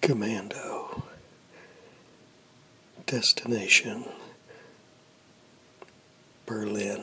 Commando. Destination Berlin.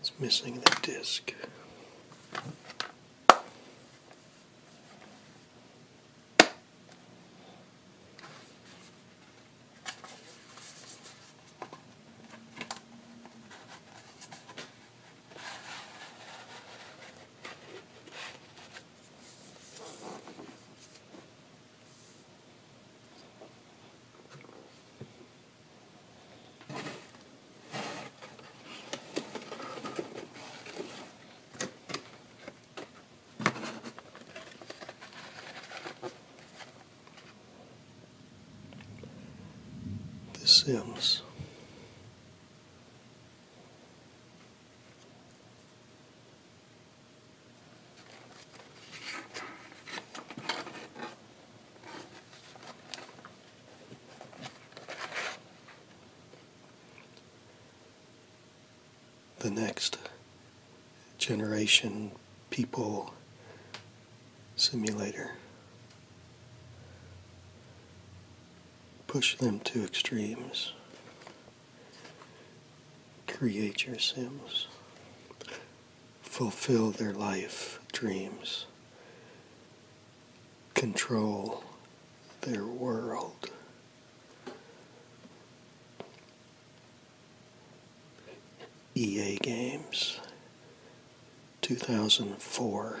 It's missing the disc. The Sims the next generation people simulator. Push them to extremes create your Sims, fulfill their life dreams, control their world. EA Games 2004.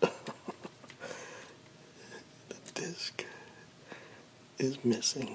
the disc is missing.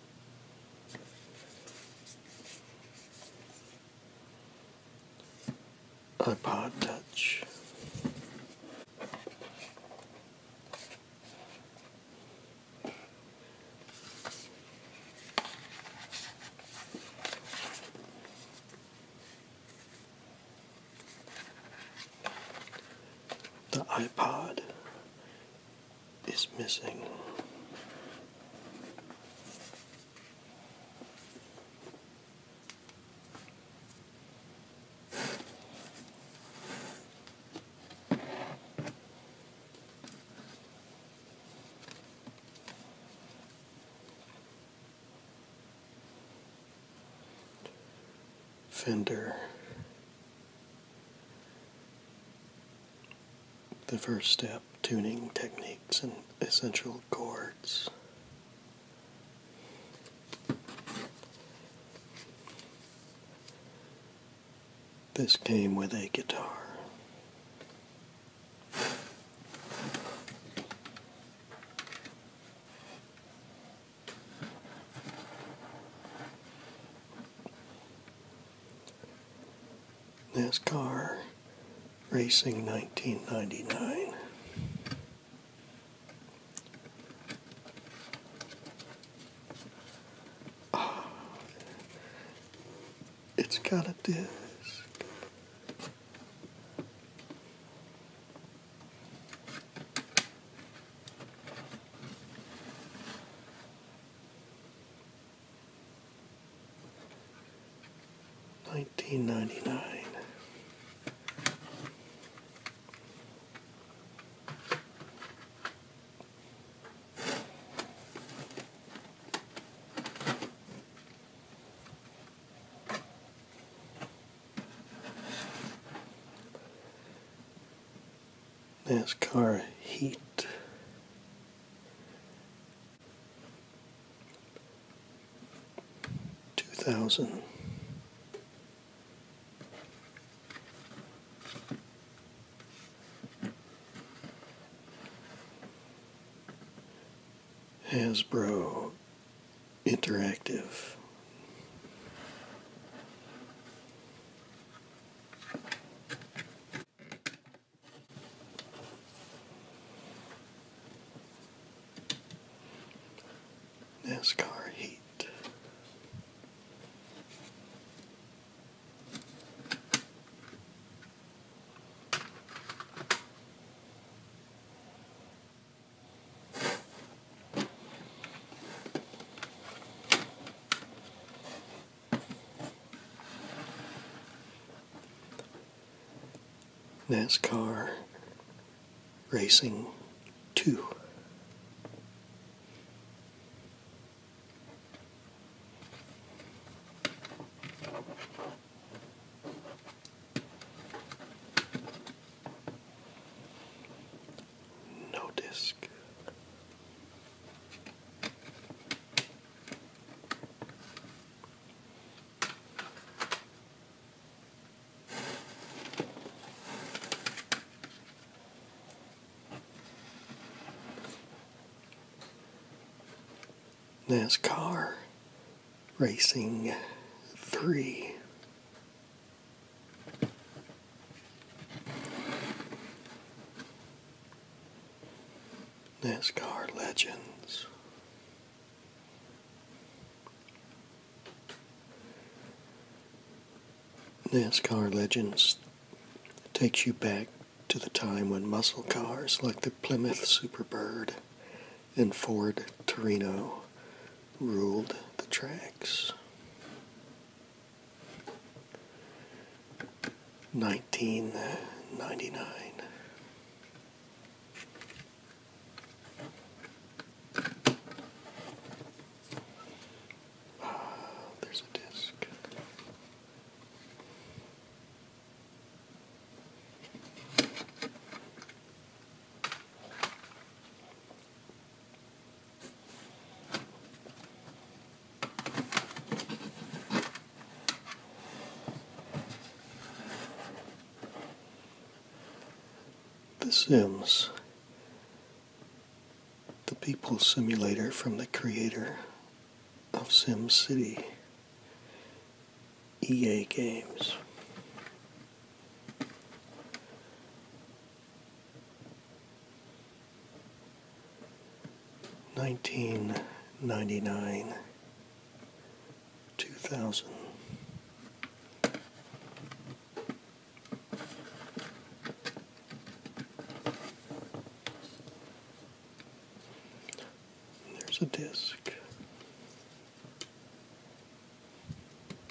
iPod Touch. The iPod is missing. Fender the first step tuning techniques and essential chords. This came with a guitar. NASCAR Racing 1999. Oh, ah, it's got a disc. Nineteen ninety nine. NASCAR Heat. Two thousand. Hasbro Interactive. NASCAR Heat. NASCAR Racing 2 no disc. NASCAR Racing 3 NASCAR Legends. NASCAR Legends takes you back to the time when muscle cars like the Plymouth Superbird and Ford Torino ruled the tracks nineteen ninety nine. Uh, ah, there's a disc. The Sims, the people simulator from the creator of Sim City, EA Games. Nineteen ninety nine, two thousand. There's a disc.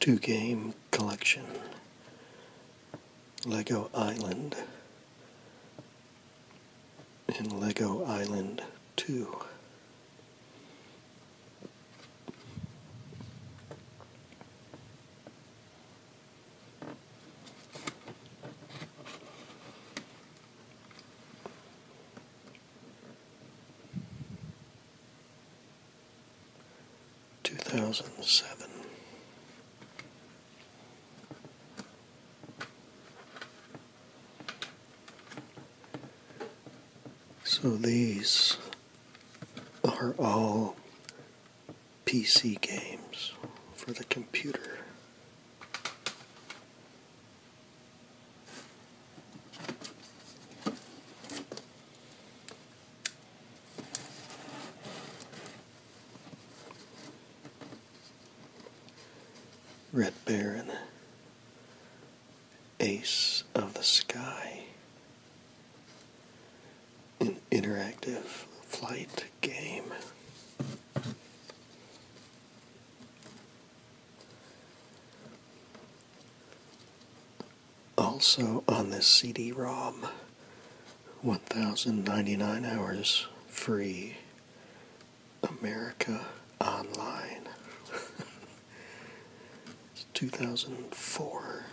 two game collection Lego Island and Lego Island 2. 2007 So these are all PC games for the computer. Red Baron, Ace of the Sky, an interactive flight game. Also on this CD ROM, 1099 hours free America Online. 2004.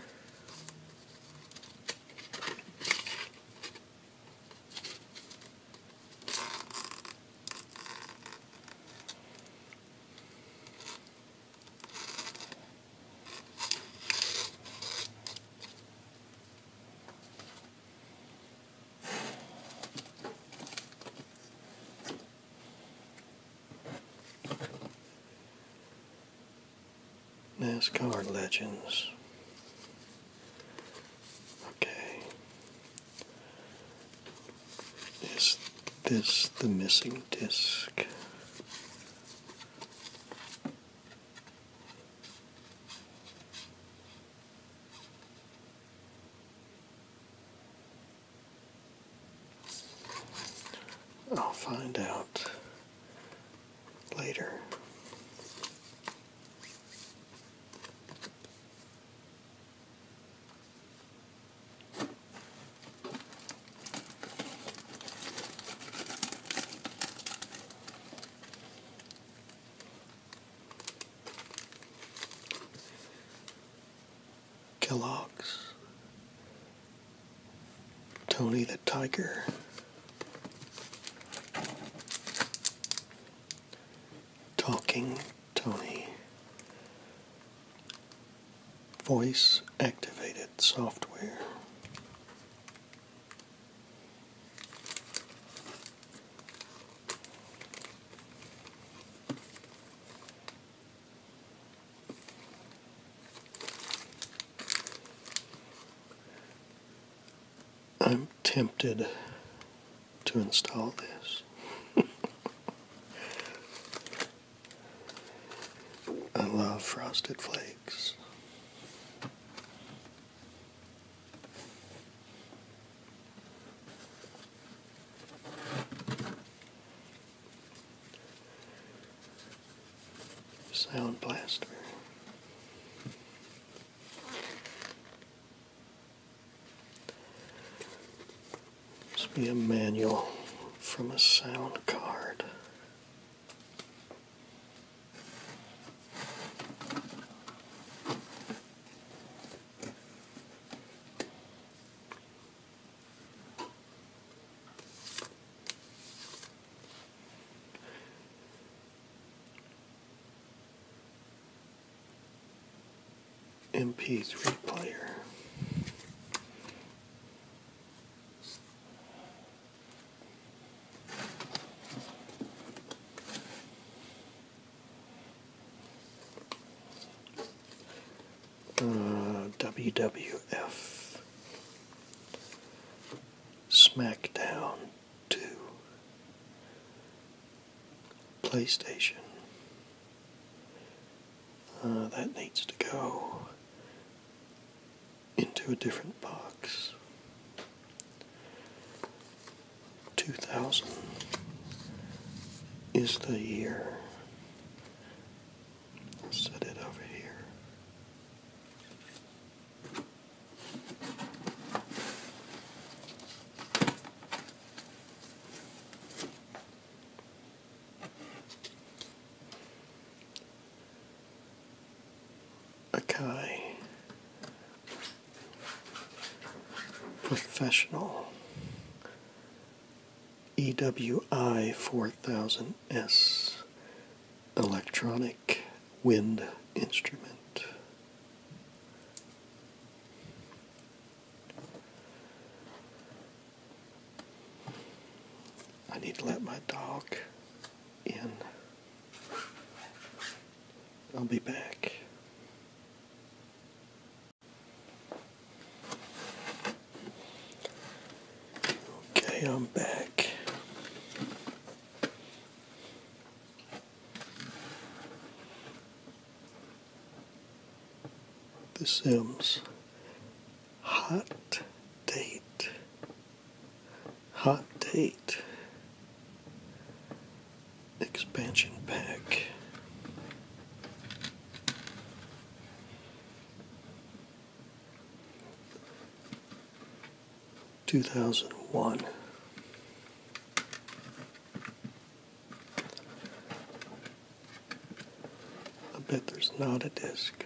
NASCAR Legends Okay. Is this the missing disc? I'll find out later. Kellogg's, Tony the Tiger, Talking Tony Voice Activated Software. I'm tempted to install this. I love frosted flakes. Sound blaster. This will be a manual from a sound card. MP3 player. Uh, WWF SmackDown 2 PlayStation. Uh, that needs to go into a different box. 2000 is the year. Set it over here. Okay. Professional EWI 4000S electronic wind instrument. I need to let my dog in. I'll be back. Okay, I'm back. The Sims. Hot date. Hot date. Expansion pack. Two thousand one. I bet there's not a disc.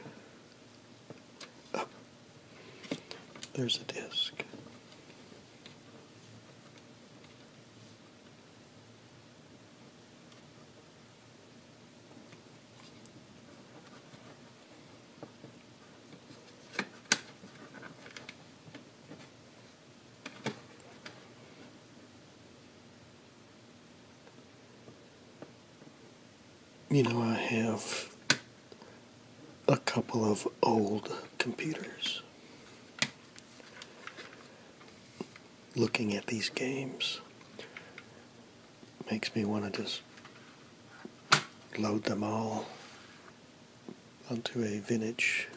Oh. there's a disc. You know, I have a couple of old computers looking at these games makes me want to just load them all onto a vintage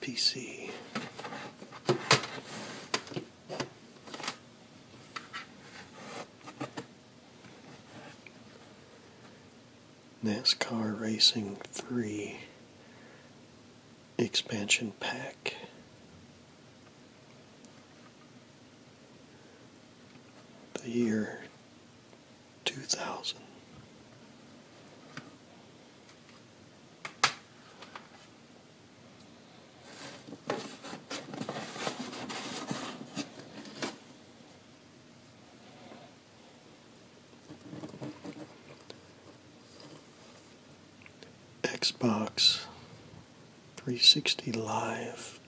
PC. NASCAR Racing 3 expansion pack. The year 2000. Xbox 360 Live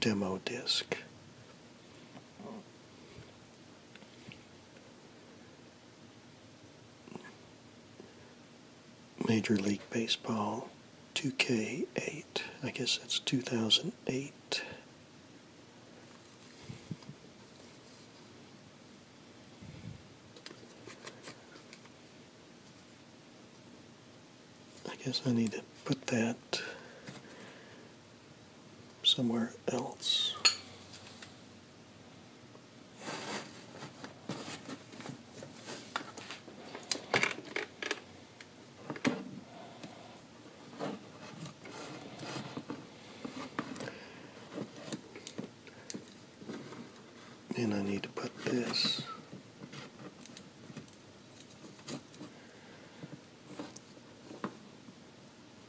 demo disc Major League Baseball 2K8. I guess that's 2008. I guess I need to put that somewhere else. And I need to put this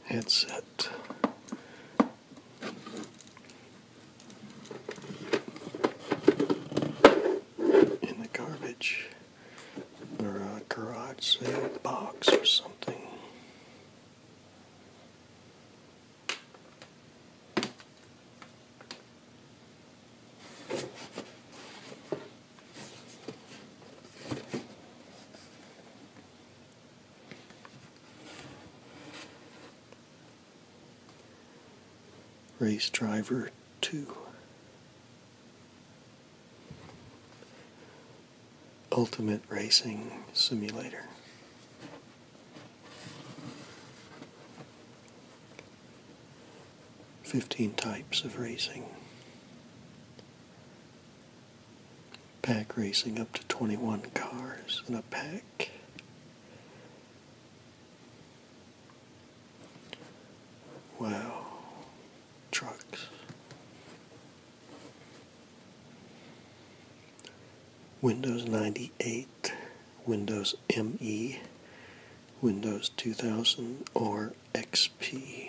headset. In the garbage or a uh, garage sale box or something. Race driver two. Ultimate Racing Simulator. Fifteen types of racing. Pack racing up to 21 cars in a pack. Wow. Trucks. Windows 98, Windows ME, Windows 2000 or XP.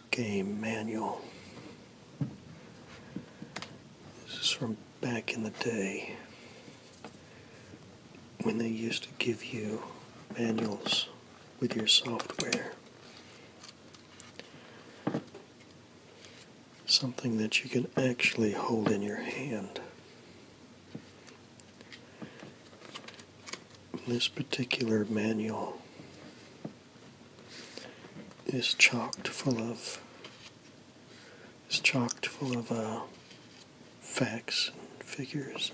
game manual. This is from back in the day when they used to give you manuals with your software. Something that you can actually hold in your hand. This particular manual is chocked full of is chocked full of uh, facts and figures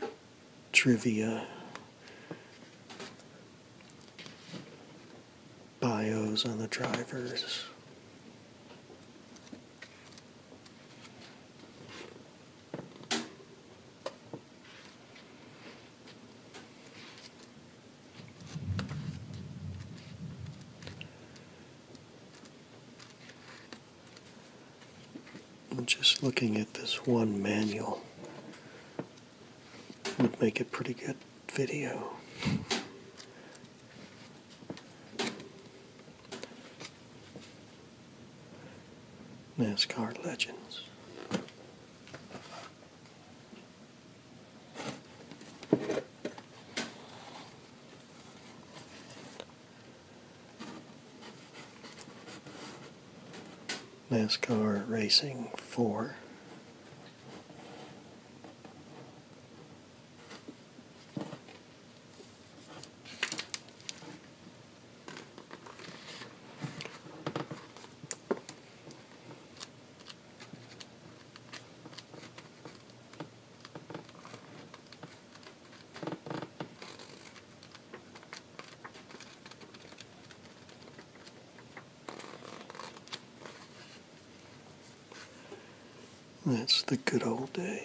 and trivia bios on the drivers I'm just looking at this one manual would make a pretty good video. NASCAR Legends. NASCAR Racing 4. That's the good old days.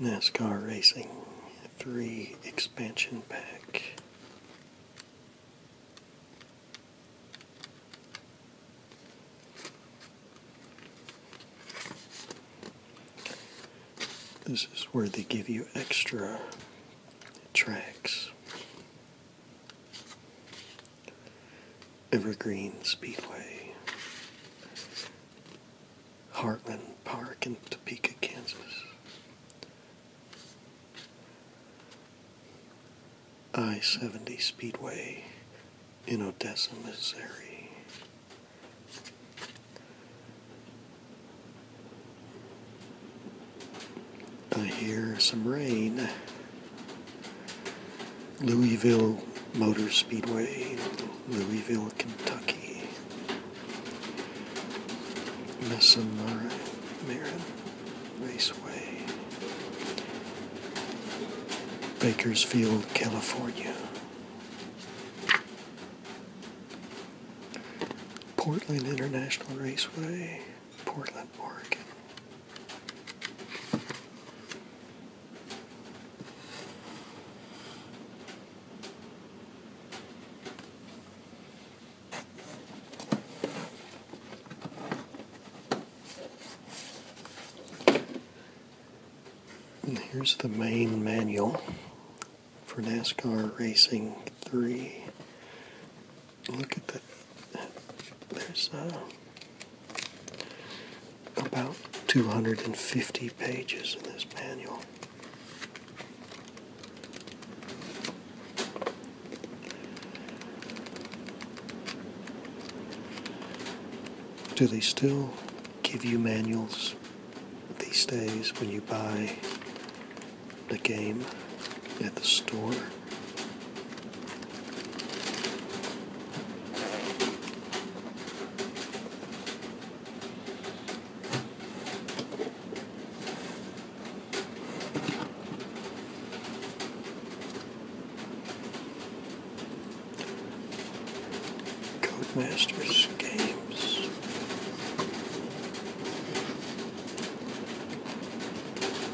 NASCAR Racing 3 Expansion Pack. This is where they give you extra tracks Evergreen Speedway, Heartland Park in Topeka, Kansas. I 70 Speedway in Odessa, Missouri. I hear some rain. Louisville Motor Speedway, Louisville, Kentucky. Mesa Messamara Marin Raceway. Bakersfield, California. Portland International Raceway, Portland, Oregon here's the main manual for NASCAR Racing 3. Look at that there's uh, about 250 pages in this manual. Do they still give you manuals these days when you buy the game at the store? Masters games.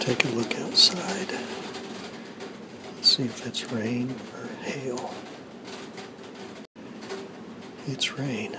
take a look outside. See if it's rain or hail. It's rain.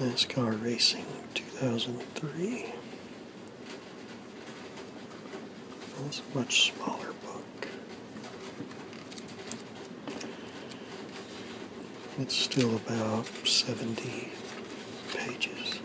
NASCAR Racing 2003. That's a much smaller book. It's still about 70 pages.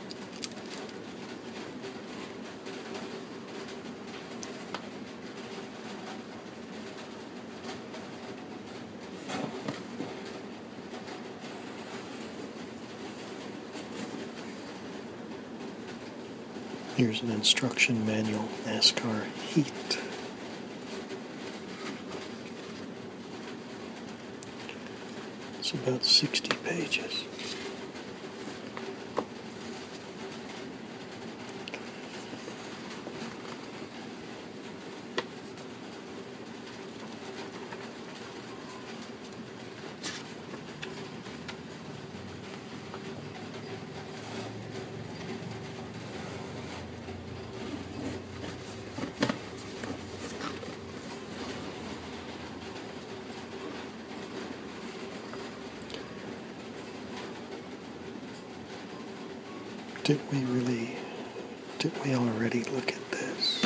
Here's an instruction manual, NASCAR Heat. It's about 60 pages. Did we really, did we already look at this?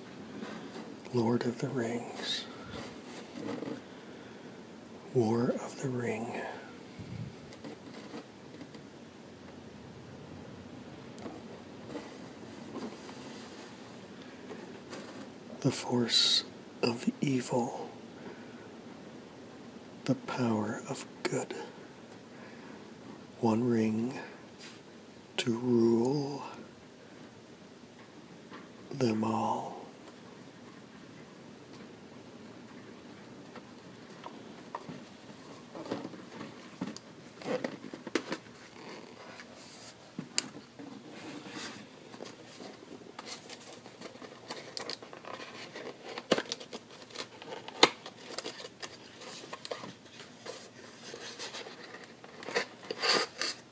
Lord of the Rings, War of the Ring. The force of evil, the power of good. One ring to rule them all.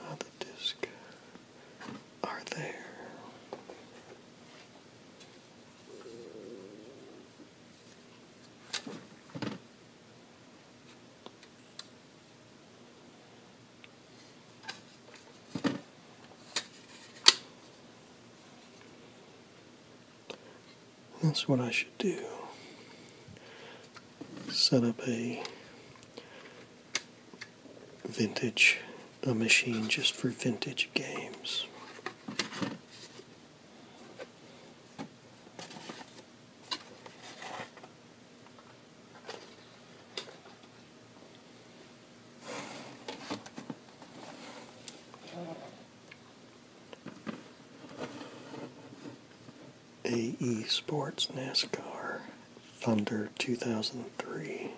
Uh, the disc are there. That's what I should do. Set up a vintage a machine just for vintage games. AE Sports NASCAR Thunder 2003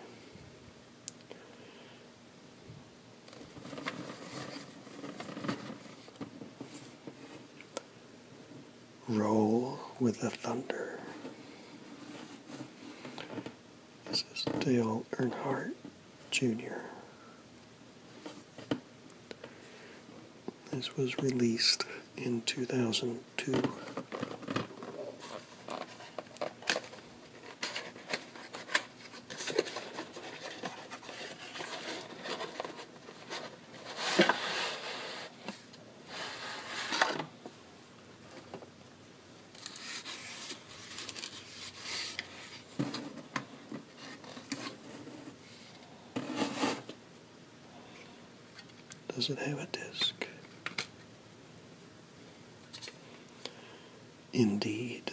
roll with the thunder. This is Dale Earnhardt Jr. This was released in 2002. Does it have a disk? Indeed.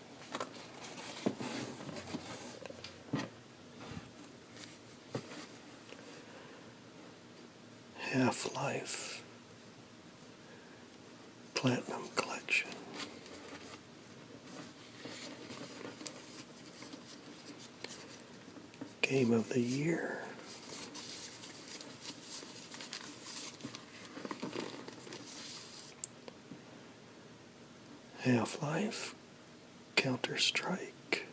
Half Life Platinum Collection. Game of the Year. Half Life, Counter Strike.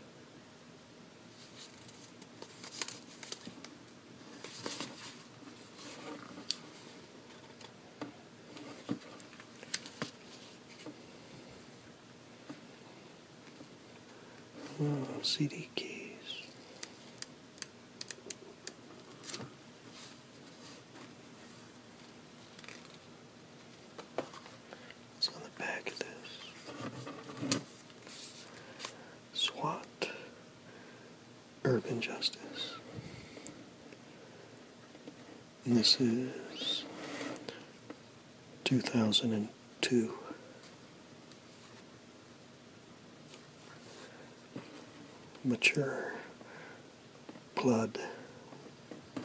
Hmm, CD keys. It's on the back of this. SWAT Urban Justice. this is 2002. Mature blood,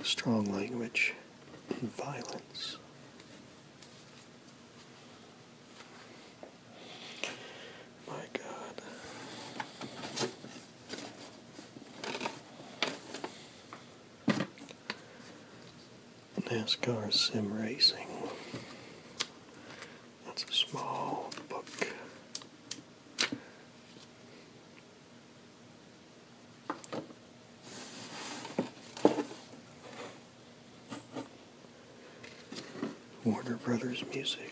strong language, violence. My God. NASCAR Sim Racing. That's a small book. Warner Brothers music.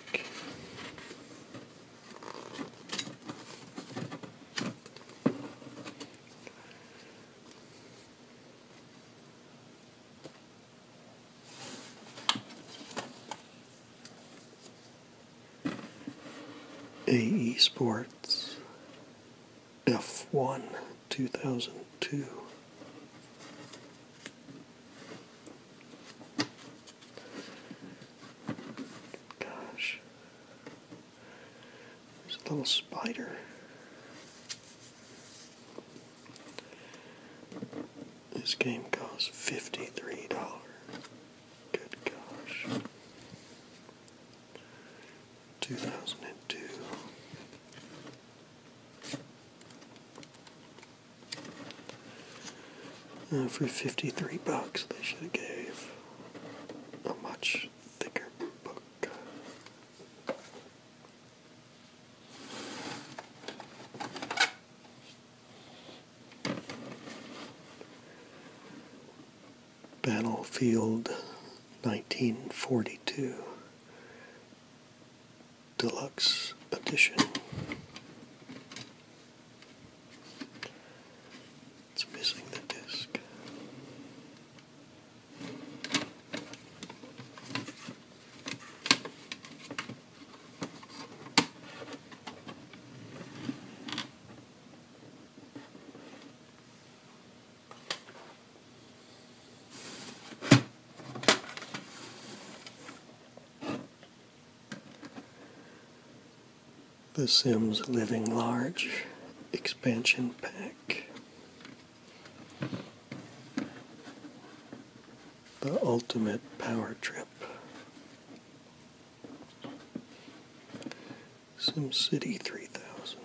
AE Sports F1 2002. Gosh, there's a little spider. This game costs $53. Good gosh. 2002. Uh, for 53 bucks, they should have gave a much thicker book. Battlefield 1942 Deluxe Edition. It's missing the disc. The Sims Living Large Expansion Pack. The Ultimate Power Trip. SimCity 3000.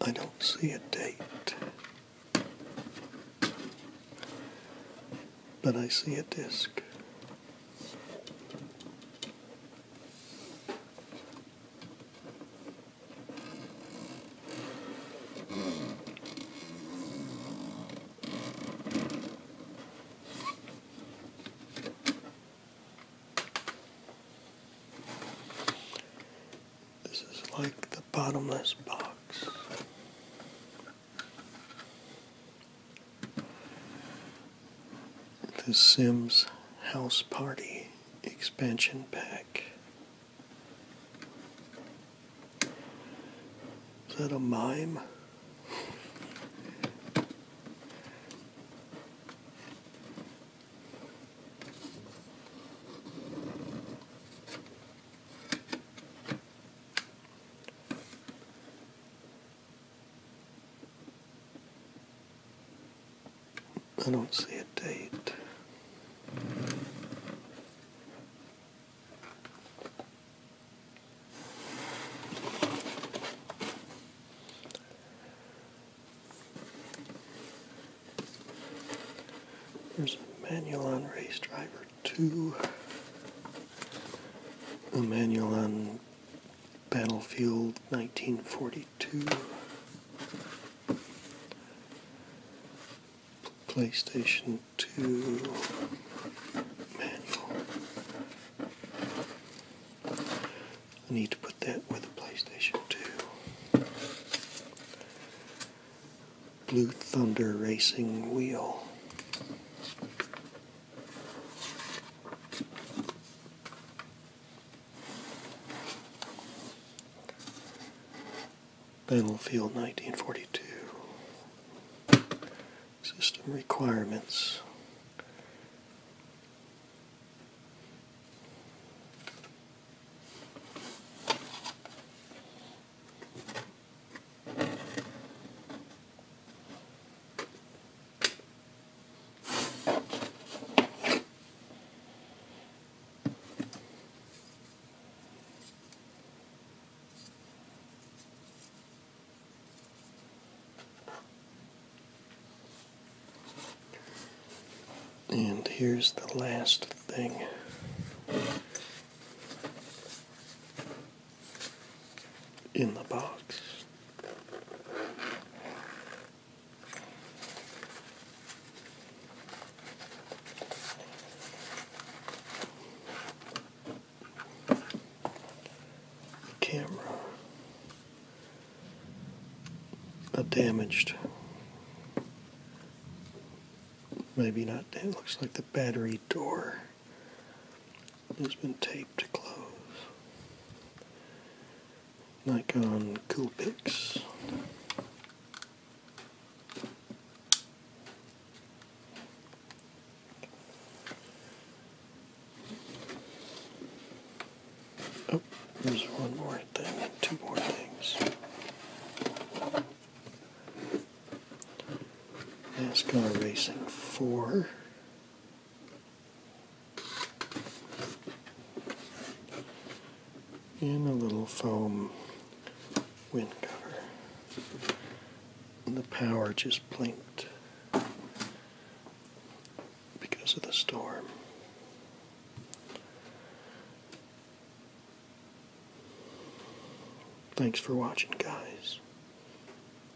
I don't see a date, but I see a disc. This is like the bottomless box. The Sims House Party Expansion Pack. Is that a mime? I don't see a date. There's a manual on race driver 2, a manual on Battlefield 1942, PlayStation 2 manual. I need to put that with the PlayStation 2. Blue Thunder Racing Wheel. Battlefield 1942 System Requirements and here's the last thing in the box. Camera, a damaged, maybe not, it looks like the battery door. It's been taped to close. Nikon Coolpix. Oh, there's one more thing, two more things. NASCAR Racing 4 and a little foam wind cover. the power just blinked because of the storm. Thanks for watching, guys.